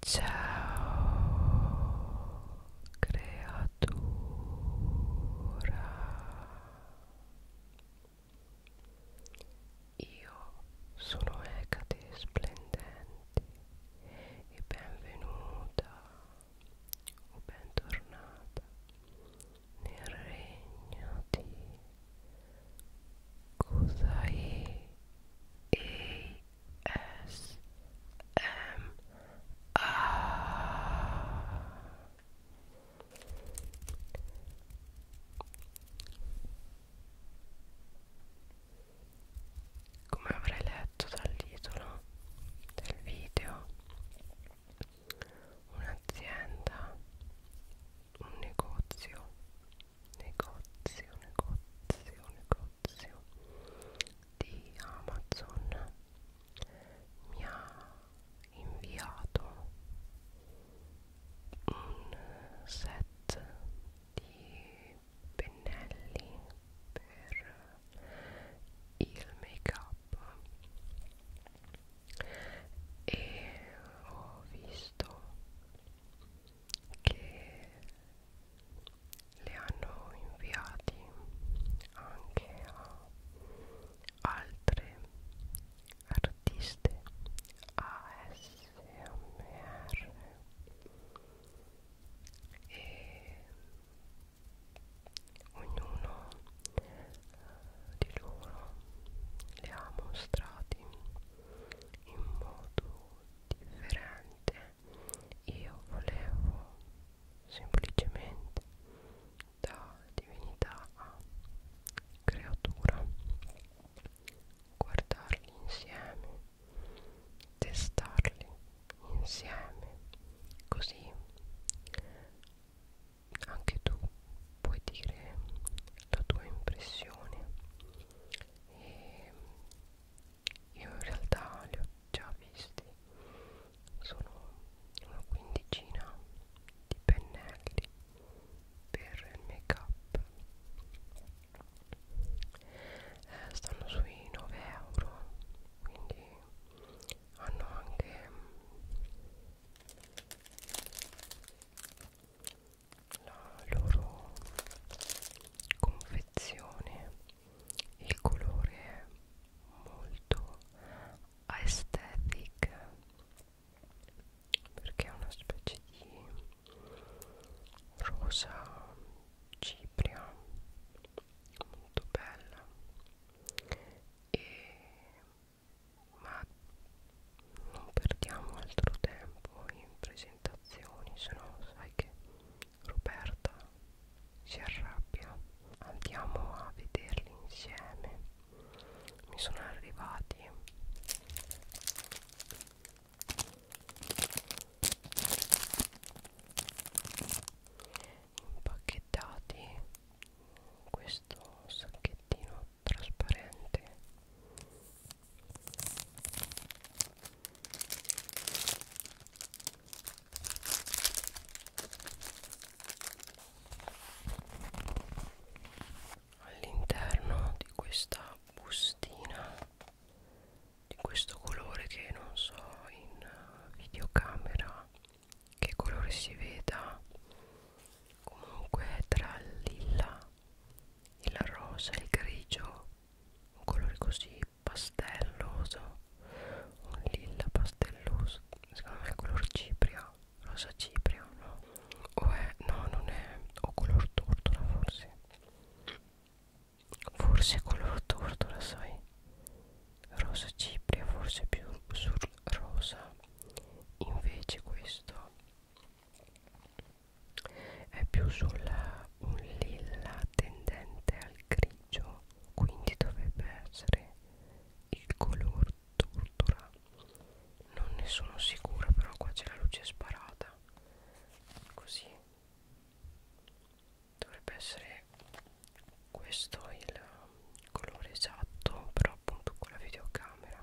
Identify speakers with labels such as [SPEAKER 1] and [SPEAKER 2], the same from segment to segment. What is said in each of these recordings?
[SPEAKER 1] Ciao creatura Io sono Ecate Splendenti e benvenuta o bentornata nel regno di Kusai Eiki S M A Come avrei letto dal titolo del video un'azienda un negozio negozio, negozio, negozio di Amazon mi ha inviato un set di pennelli per il make up e ho visto che le hanno inviati anche a altre artiste ASMR e ognuno di loro le ha mostrati in modo differente niente io volevo semplicemente da divinità a creatura guardarli insieme testarli insieme così anche tu puoi dire la tua impressione e io in realtà li ho già visti sono una quindicina di pennelli per il make up eh, stanno sui 9 euro quindi hanno anche la loro confezione il colore è molto aesthetic perché è una specie di rosa cipria molto bella e ma non perdiamo altro tempo in prese presentazioni se no sai che Roberta si arrabbia andiamo a vederli insieme mi sono arrivati impacchettati in questo sacchettino trasparente All'interno di questa bustina di questo colore che non so in eh, videocamera che colore si veda comunque tra il lilla il rosa il grigio un colore così pastelloso un lilla pastelloso secondo me è color cipria rosa cipria no o è no non è o color tortola forse forse color tortola sai rosa cipria forse più sul rosa invece questo è più sulla un lilla tendente al grigio quindi dovrebbe essere il color tortura non ne sono sicura però qua c'è la luce sparata così dovrebbe essere questo il colore esatto però appunto con la videocamera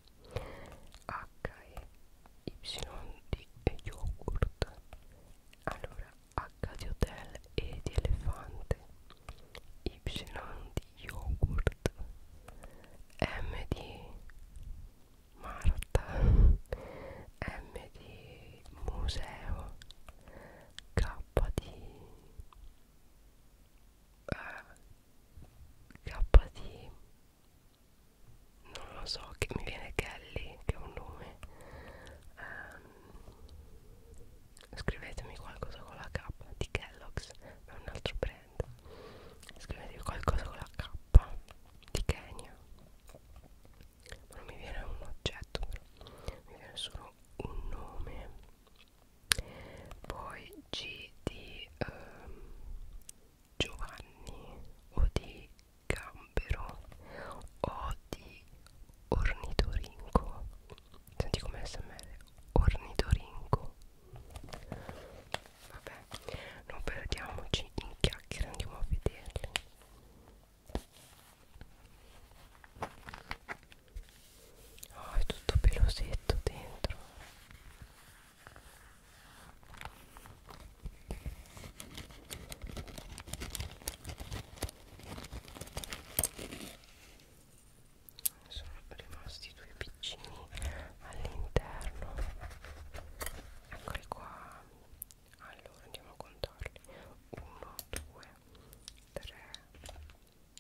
[SPEAKER 1] H-E-Y di yogurt allora H di hotel E di elefante Y di yogurt M di Marta M di museo K di eh, KD non lo so che mi viene Kelly che è un nome eh, scrivetemi qualcosa con la K di Kellogg's è un altro brand scrivetemi qualcosa con la K di Kenya ma non mi viene un oggetto però mi viene solo un nome poi G di ehm, Giovanni o di Gambero o di Ornitorinco senti come smr Ornitorinco vabbè non perdiamoci in chiacchiere andiamo a vederli oh, è tutto pelosetto dentro sono rimasti due piccini all'interno eccoli qua allora andiamo a contarli 1 2 3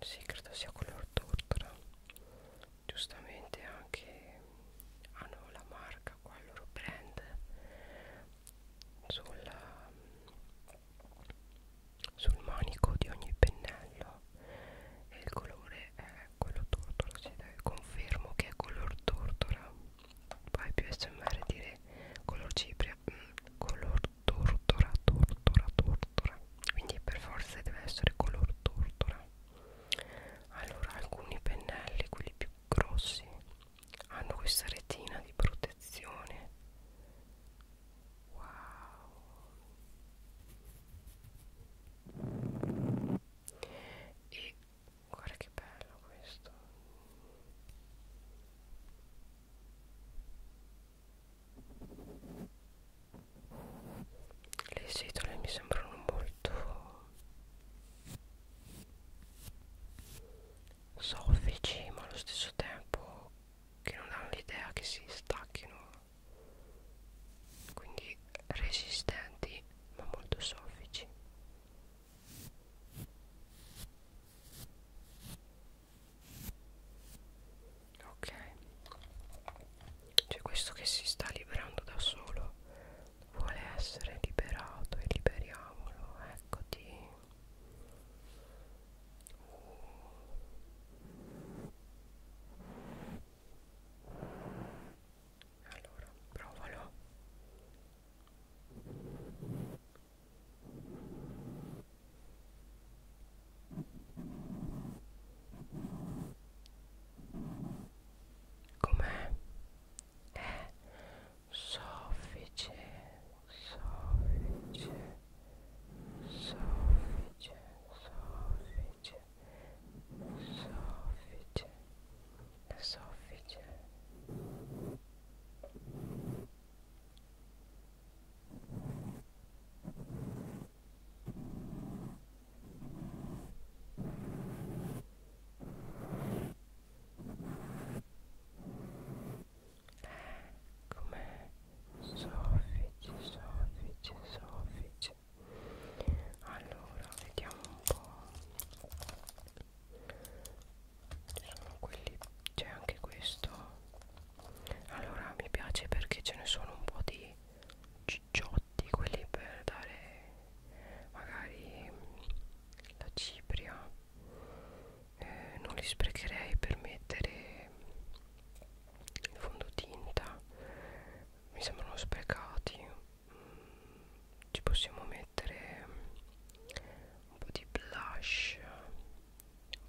[SPEAKER 1] sì credo sia color tortora giustamente anche hanno la marca qua il loro brand sulla, sul manico di ogni pennello e il colore è quello tortora si deve confermo che è color tortora poi più smr dire color cipria mm, color tortora tortora tortora quindi per forza deve essere color tortora allora alcuni pennelli quelli più grossi hanno questa retina di protezione wow e guarda che bello questo le setole mi sembrano molto soffici ma allo stesso tempo che non hanno l'idea che si stacchino quindi resistenti ma molto soffici ok c'è questo che si sta liberando da solo vuole essere liberato e liberiamolo eccoti allora provalo Com'è? Eh, soffice, soffice, soffice, soffice, soffice, soffice. Come soffici, soffici, soffici. Allora, vediamo un po' sono quelli c'è anche questo allora mi piace perché ce ne sono un po' di cicciotti quelli per dare magari mm, la cipria eh, non li sprecherei per mettere il fondotinta mi sembrano sprecati mm, ci possiamo mettere mm, un po' di blush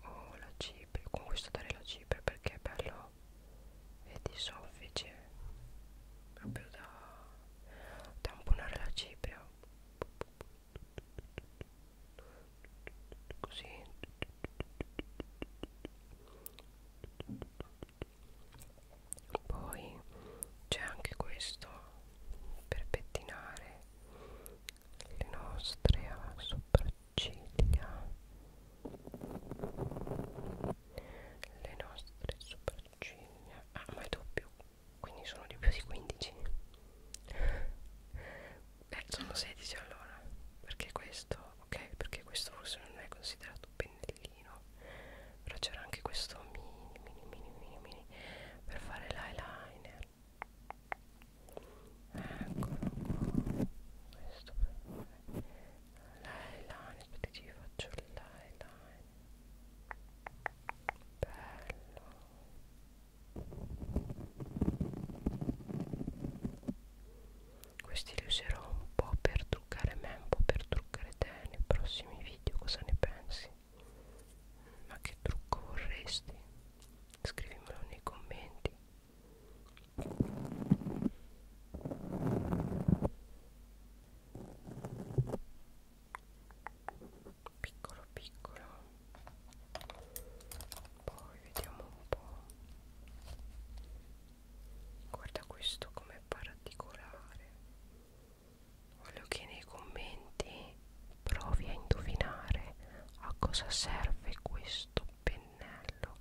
[SPEAKER 1] o oh, la cipria con questo darei la cipria perché è bello e di soffice proprio da tamponare la cipria così poi c'è anche questo per pettinare le nostre sopracciglia le nostre sopracciglia ah ma è doppio quindi sono di più di 15 eh, sono 16 allora perché questo ok perché questo forse non è considerato pennellino però c'era anche questo mini mini mini mini mini per fare l'eyeliner eccolo qua questo l'eyeliner aspetta che ci faccio l'eyeliner bello questi li userò un po' per truccare me un po' per truccare te nei prossimi video cosa ne pensi? ma che trucco vorresti? scrivimelo nei commenti piccolo piccolo poi vediamo un po' guarda questo com'è particolare voglio che nei commenti provi a indovinare a cosa serve questo pennello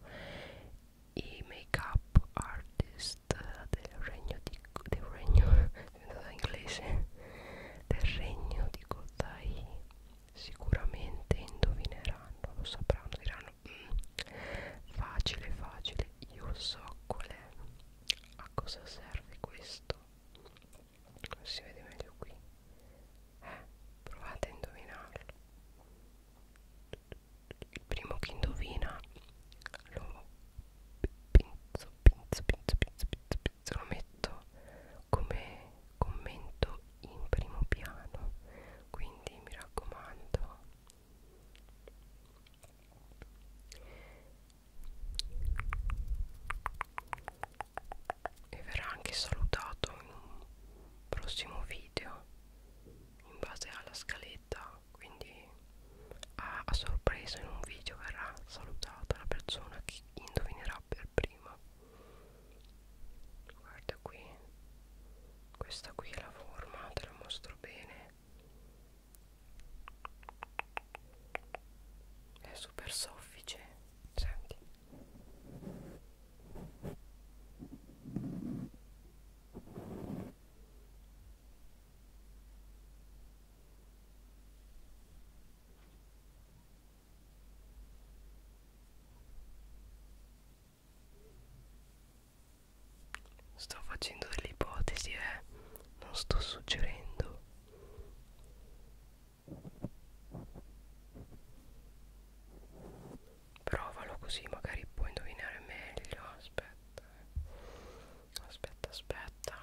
[SPEAKER 1] i make up artist del regno di del regno inglese del regno di Kotai sicuramente indovineranno lo sapranno diranno mm, facile facile io so qual è a cosa serve questo si vede meglio qui eh, provate a indovinarlo il primo che indovina lo pinzo pinzo pinzo pinzo pinzo, pinzo lo metto come commento in primo piano quindi mi raccomando e verrà anche salutato in un prossimo video in base alla scaletta quindi a, a sorpresa in un video verrà salutata la persona che indovinerà per prima guarda qui questa qui è la forma te la mostro bene è super soffice senti Sto facendo delle ipotesi, eh, non sto suggerendo. Provalo così magari puoi indovinare meglio Aspetta eh. Aspetta aspetta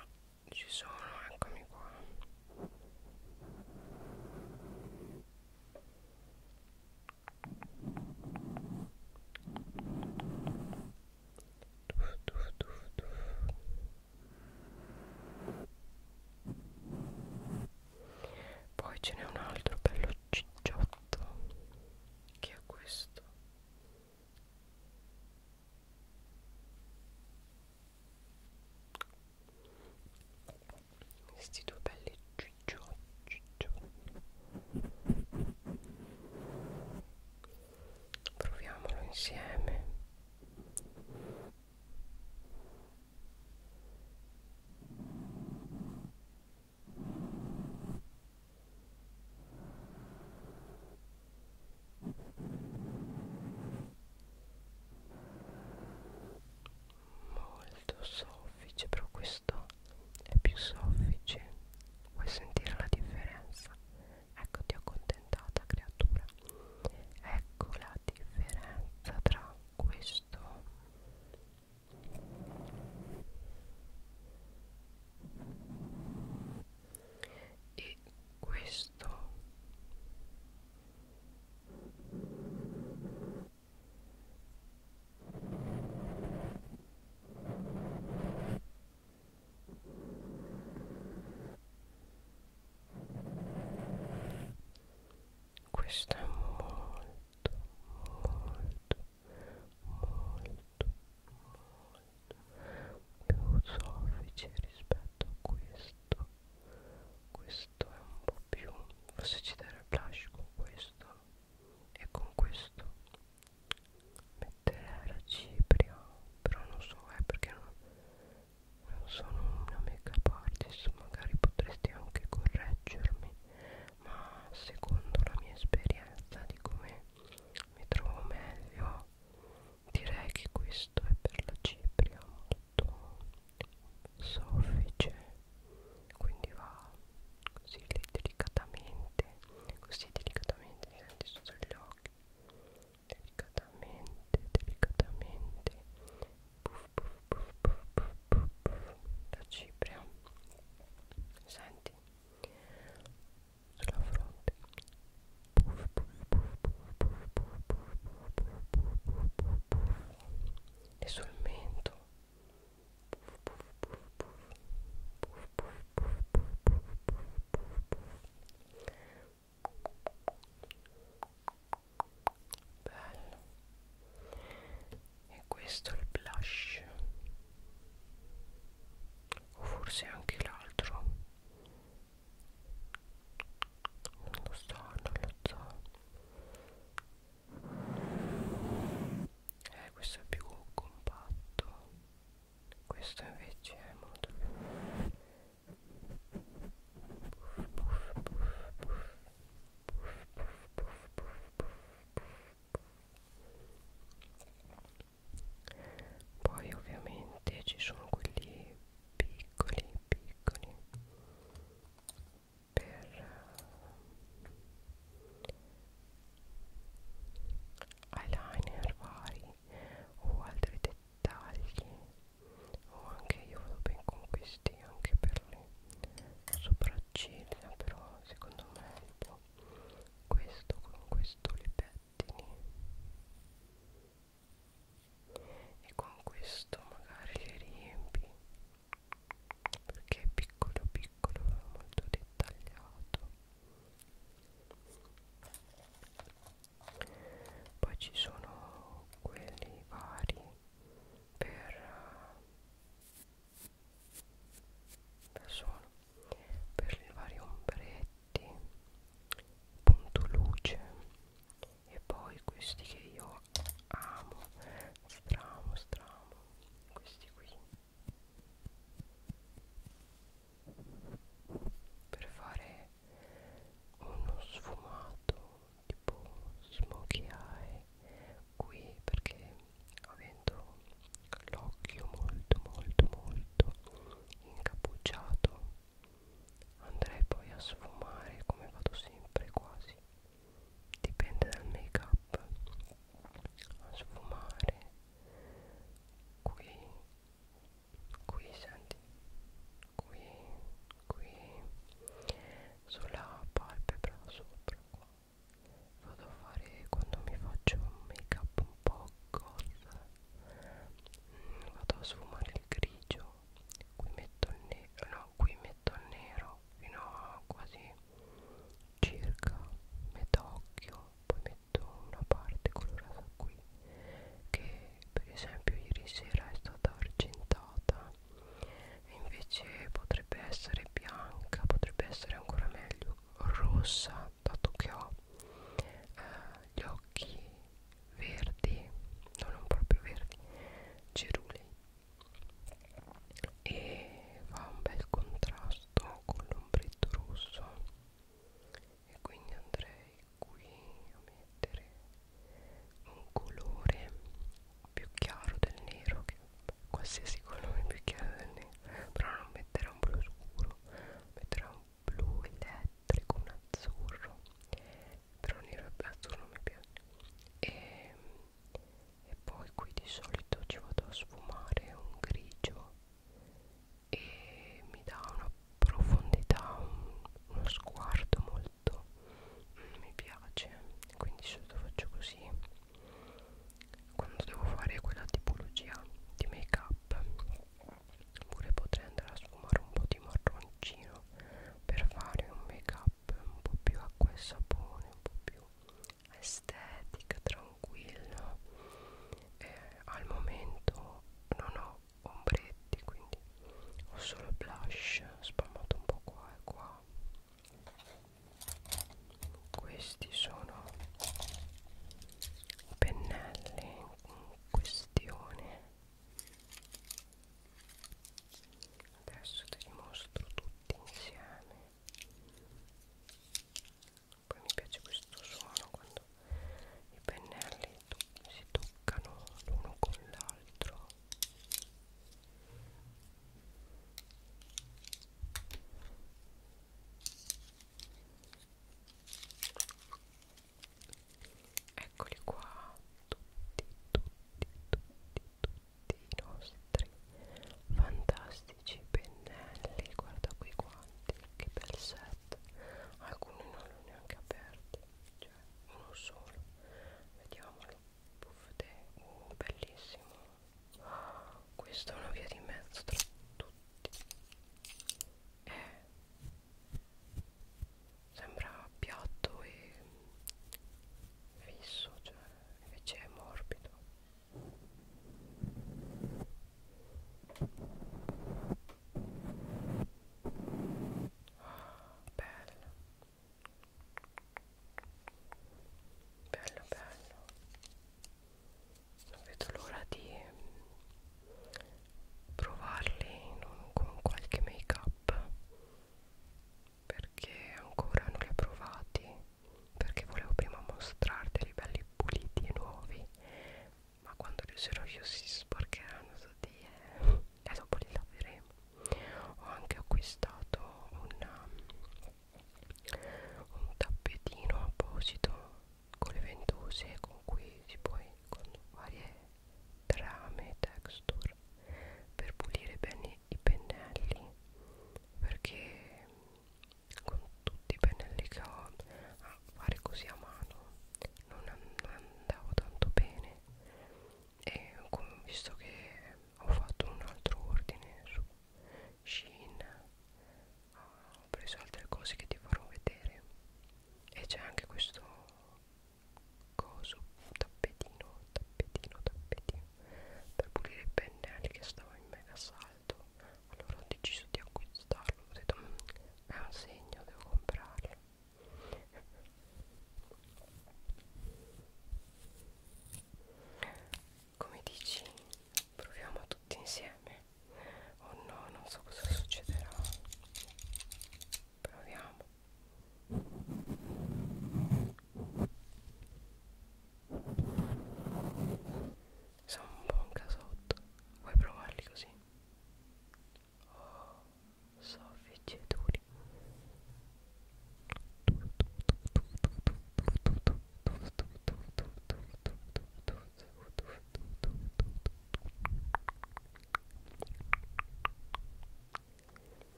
[SPEAKER 1] Ci sono eccomi qua Tuff, tuff, tuff, tuff poi ce n'è un altro bello cicciotto che è questo questi due belli ciccio, ciccio proviamolo insieme molto soffice però questo è più soffice vuoi sentire la differenza ecco ti ho accontentata creatura eccola differenza tra questo e questo questo è molto molto molto molto più soffice rispetto a questo questo è un po' più forse ci dare il blush con questo e con questo mettere la cipria però non so è perché non non sono una make-up artist, magari potresti anche correggermi, ma secondo la mia esperienza di come mi trovo meglio, direi che questo è per la cipria molto soffice, quindi va così delicatamente, così delicatamente senti sotto gli occhi delicatamente delicatamente puff, puff, puff, puff, puff, puff, puff, la cipria senti sulla fronte puff, puff, puff, puff, puff, puff, puff, puff, puff, puff, puff. e sul mento puff, puff, puff, puff, puff, puff, puff, puff, puff, puff, puff, puff bello e questo è il blush o forse anche l'altro non lo so non lo so eh questo è più compatto questo invece è molto più poi ovviamente ci sono quelli piccoli piccoli per eh, eyeliner vari o altri dettagli tagli o anche io vado bene con questi anche per le sopracciglia però secondo me tipo questo con questo li pettini e con questo magari li riempi perché è piccolo piccolo molto dettagliato poi ci sono quelli vari per persona eh, per i vari ombretti punto luce e poi questi che io amo stramo stramo questi qui per fare uno sfumato fatto tipo smokey eye qui perché avendo l'occhio molto molto molto incappucciato andrei poi a sfumare come vado sempre quasi dipende dal make up a sfumare qui qui senti qui qui sulla palpebra sopra qua vado a fare quando mi faccio un make up un po' goth mm, vado a sfumare il grigio qui metto il nero no qui metto il nero fino a quasi circa metà occhio poi metto una parte colorata qui che per esempio ieri sera è stata argentata e invece potrebbe essere bianca potrebbe essere ancora meglio rossa dato che ho eh, gli occhi verdi no, non proprio verdi cerulei e fa un bel contrasto con l'ombretto rosso e quindi andrei qui a mettere un colore più chiaro del nero che qualsiasi colore più chiaro del nero però non metterà un blu scuro metterà un blu elettrico un azzurro però nero e azzurro mi piace e, e poi qui di solito ci vado a sfumare un grigio e mi dà una profondità, un, uno sguardo molto mm, mi piace quindi sotto faccio così quando devo fare quella tipologia di make up oppure potrei andare a sfumare un po' di marroncino per fare un make up un po' più acqua e sapone un po' più estetica tranquilla eh, al momento non ho ombretti quindi ho solo il blush spalmato un po' qua e qua questi sono i pennelli in questione adesso te li mostro tutti insieme poi mi piace questo suono quando i pennelli tu si toccano l'uno con l'altro eccoli qua tutti tutti tutti tutti i nostri fantastici pennelli guarda qui quanti che bel set alcuni non li ho neanche aperti cioè uno solo vediamolo puff te uh, bellissimo questa è una via di mezzo tra tutti eh. sembra piatto e fisso cioè invece è morbido Oh, bello bello bello non vedo l'ora di provarli un, con qualche make up perché ancora non li ho provati perché volevo prima mostrarteli belli puliti e nuovi ma quando li userò io si sporcheranno tutti e eh, dopo li laveremo ho anche acquistato una, um, un tappetino apposito con le ventose con cui si può con varie trame texture per pulire bene i pennelli perché mm, con tutti i pennelli che ho a fare così a mano non, non andavo tanto bene e visto che ho fatto un altro ordine su Shein ho preso altre cose che ti farò vedere e c'è anche questo coso tappetino tappetino tappetino per pulire i pennelli che stava in mega salto allora ho deciso di acquistarlo ho detto mm, è un segno devo comprarlo come dici proviamo tutti insieme oh no non so cosa succederà proviamo sono un buon casotto vuoi provarli così soffici e duri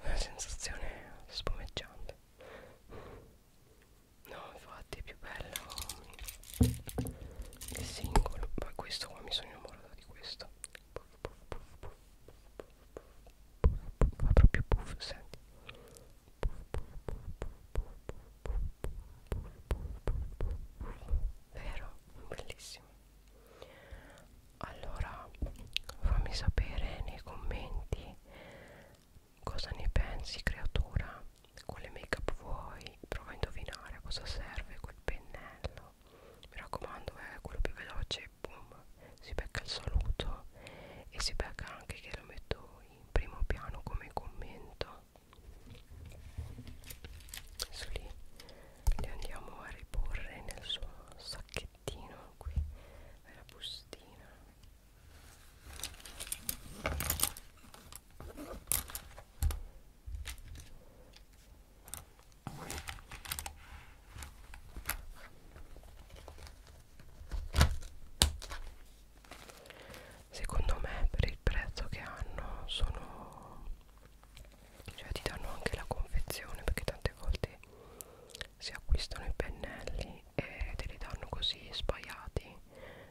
[SPEAKER 1] una sensazione spumeggiante no infatti è più bello il singolo ma questo qua mi sono innamorato di questo fa proprio puff, senti vero? bellissimo allora fammi sapere nei commenti cosa ne pensi creatura quale make up vuoi prova a indovinare a cosa serve quel pennello video mi raccomando è eh, quello più veloce boom si becca il saluto e si becca anche che lo metto in primo piano come commento adesso lì li andiamo a riporre nel suo sacchettino qui nella bustina Secondo me per il prezzo che hanno sono cioè ti danno anche la confezione perché tante volte si acquistano i pennelli e te li danno così spaiati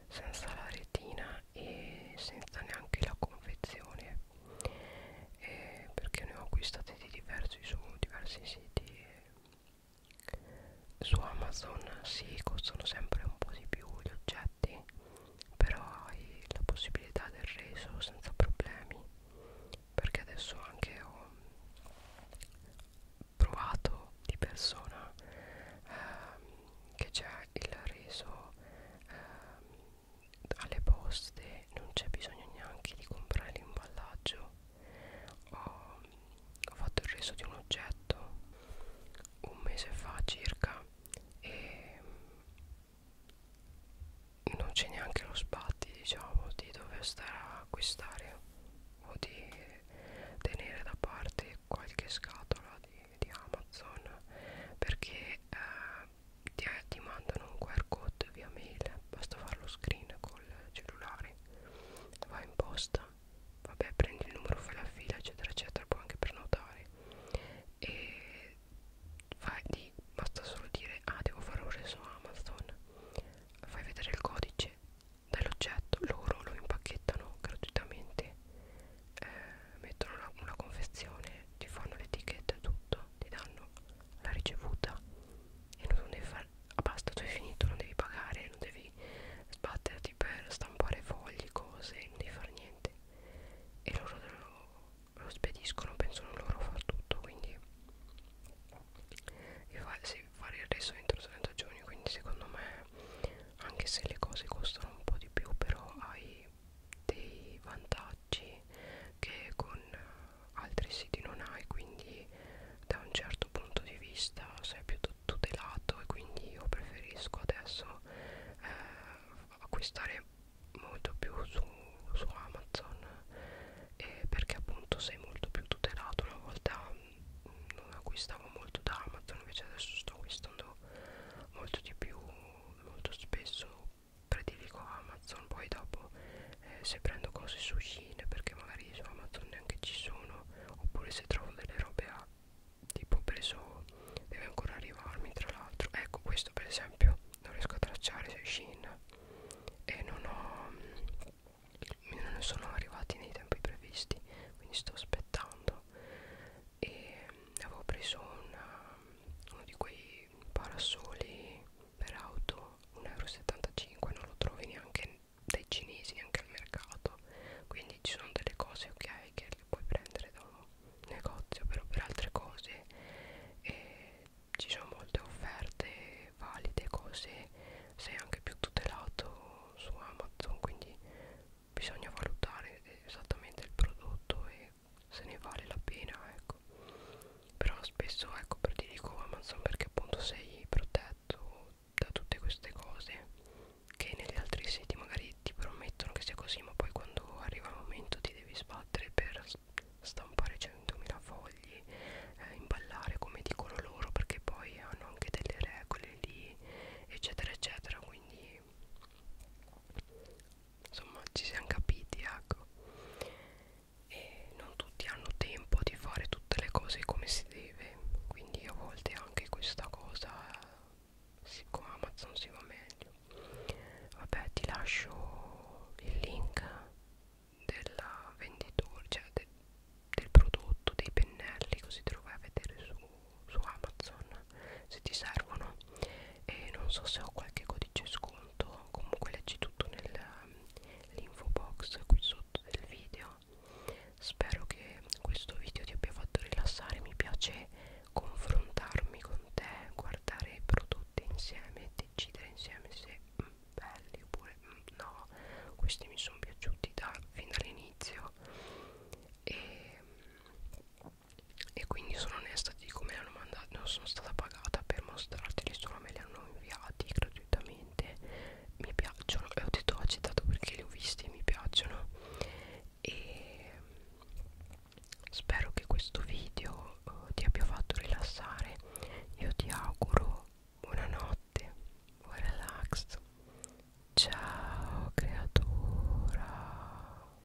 [SPEAKER 1] senza la retina e senza neanche la confezione eh, perché ne ho acquistate di diversi su diversi siti eh. su Amazon si sì, costano sempre un po' di più gli oggetti però hai la possibilità del reso senza problemi perché adesso anche ho provato di persona ehm, che c'è il reso ehm, alle poste non c'è bisogno neanche di comprare l'imballaggio ho, ho fatto il reso di un oggetto un mese fa circa e non c'è neanche lo sbatti diciamo di dover stare a acquistare o di tenere da parte qualche scatola di, di Amazon perché eh, ti, ti mandano un QR code via mail basta fare lo screen col cellulare vai in posta vabbè prendi il numero fai la fila eccetera eccetera puoi anche prenotare e fai di basta solo dire ah devo fare un reso amazon fai vedere il codice dell'oggetto loro lo impacchettano gratuitamente eh, mettono una, una confezione, ti fanno l'etichetta e tutto, ti danno la ricevuta e non devi fare, ah, basta, tu hai finito, non devi pagare, non devi sbatterti per stampare fogli, cose, non devi fare niente e loro lo, lo spediscono, pensano loro a far tutto, quindi e fa, sì, fare il resto entro 30 giorni, quindi secondo me anche se le cose costano un po' di più però hai dei vantaggi che con altri siti non hai quindi da un certo punto di vista sei più tutelato e quindi io preferisco adesso eh, acquistare molto più su, su Amazon eh, perché appunto sei molto più tutelato una volta mh, mm, non acquistavo molto da Amazon invece adesso sto acquistando molto di più molto spesso prediligo Amazon poi dopo eh, se prendo cose su Shein perché magari su Amazon neanche ci sono oppure se trovo delle robe a tipo preso deve ancora arrivarmi tra l'altro ecco questo per esempio non riesco a tracciare su Shein e non ho non sono arrivati nei tempi previsti quindi sto aspettando e avevo preso una, uno di quei parasoli per auto 1,75 non lo trovi neanche dai cinesi neanche al mercato quindi ci sono delle cose ok che le puoi prendere da un negozio però per altre cose eh, ci sono molte offerte valide cose sei anche più tutelato su Amazon quindi bisogna valutare esattamente il prodotto e che se ne vale la pena ecco però spesso ecco per ti dico Amazon perché appunto sei protetto da tutte queste cose che negli altri siti magari ti promettono che sia così ma poi quando arriva il momento ti devi sbattere per stampare 100.000 fogli eh, imballare come dicono loro perché poi hanno anche delle regole lì eccetera eccetera quindi insomma ci siamo capiti ecco e non tutti hanno tempo di fare tutte le cose come si deve quindi a volte anche questa cosa con Amazon si va meglio vabbè ti lascio il link della venditor cioè de, del prodotto dei pennelli così te lo vai a vedere su, su Amazon se ti servono e non so se ho qualche codice sconto comunque leggi tutto nell'info box qui sotto del video spero che questo video ti abbia fatto rilassare mi piace confrontarmi con te guardare i prodotti insieme decidere insieme se mm, belli oppure mm, no questi mi sono piaciuti da, fin dall'inizio e mm, e quindi sono onesta ti dico me l'hanno mandata non sono stata pagata per mostrarteli solo me li hanno inviati gratuitamente mi piacciono e ho detto ho accettato perché li ho visti e mi piacciono e mm, spero che questo video uh, ti abbia fatto rilassare io ti auguro buonanotte buon relax ciao creatura